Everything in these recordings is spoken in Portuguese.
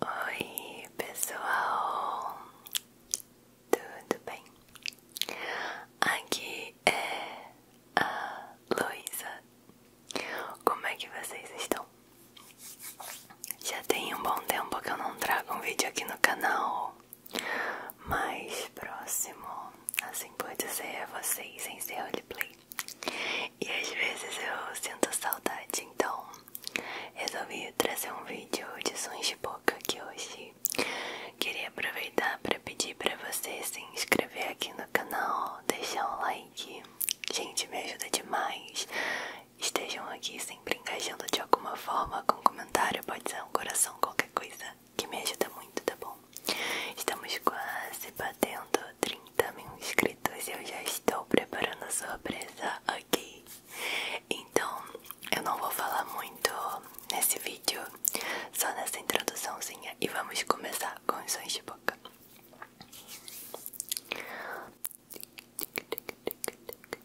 Oi, pessoal, tudo bem? Aqui é a Luísa. Como é que vocês estão? Já tem um bom tempo que eu não trago um vídeo aqui no canal mais próximo, assim pode ser a é vocês em seu roleplay. E às vezes eu sinto saudade, então resolvi trazer um vídeo de sons de boca aqui hoje. Queria aproveitar para pedir para você se inscrever aqui no canal, deixar um like. Gente, me ajuda demais. Estejam aqui sempre engajando de alguma forma com um comentário, pode ser um coração com coisa que me ajuda muito, tá bom? Estamos quase batendo 30 mil inscritos e eu já estou preparando a surpresa aqui. Então, eu não vou falar muito nesse vídeo, só nessa introduçãozinha e vamos começar com os sons de boca.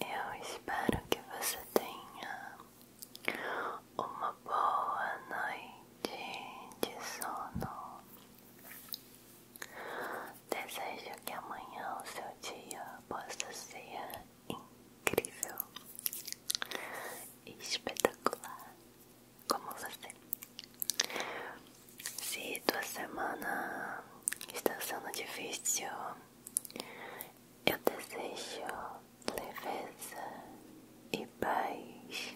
Eu espero que você tenha uma boa noite de sono. Desejo que amanhã o seu dia possa ser incrível, espetacular, como você. Se tua semana está sendo difícil, eu desejo leveza e paz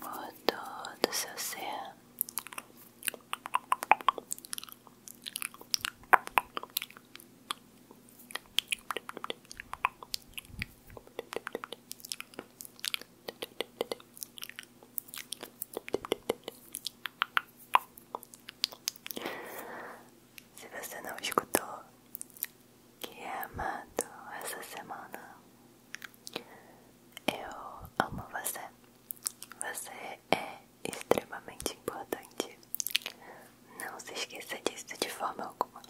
por todo seu ser. Se você não escutou, que é amado essa semana. Eu amo você. Você é extremamente importante. Não se esqueça disso de forma alguma.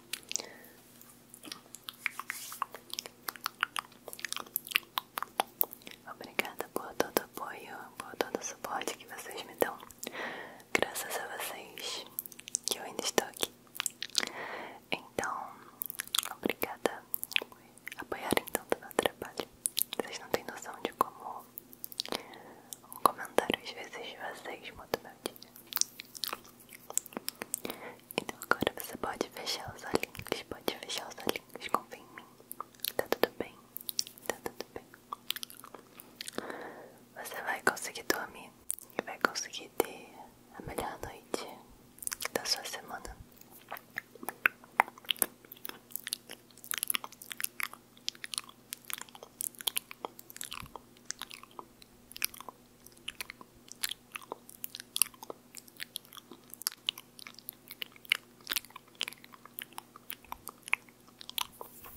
Obrigada por todo o apoio, por todo o suporte que vocês me dão. Graças a vocês que eu ainda estou aqui. Então, obrigada por apoiarem tanto meu trabalho. Vocês não têm noção de como um comentário às vezes de vocês muda meu dia. Então agora você pode fechar os olhinhos, pode fechar os olhinhos, confia em mim. Tá tudo bem, tá tudo bem. Você vai conseguir dormir e vai conseguir ter a melhor noite da sua semana.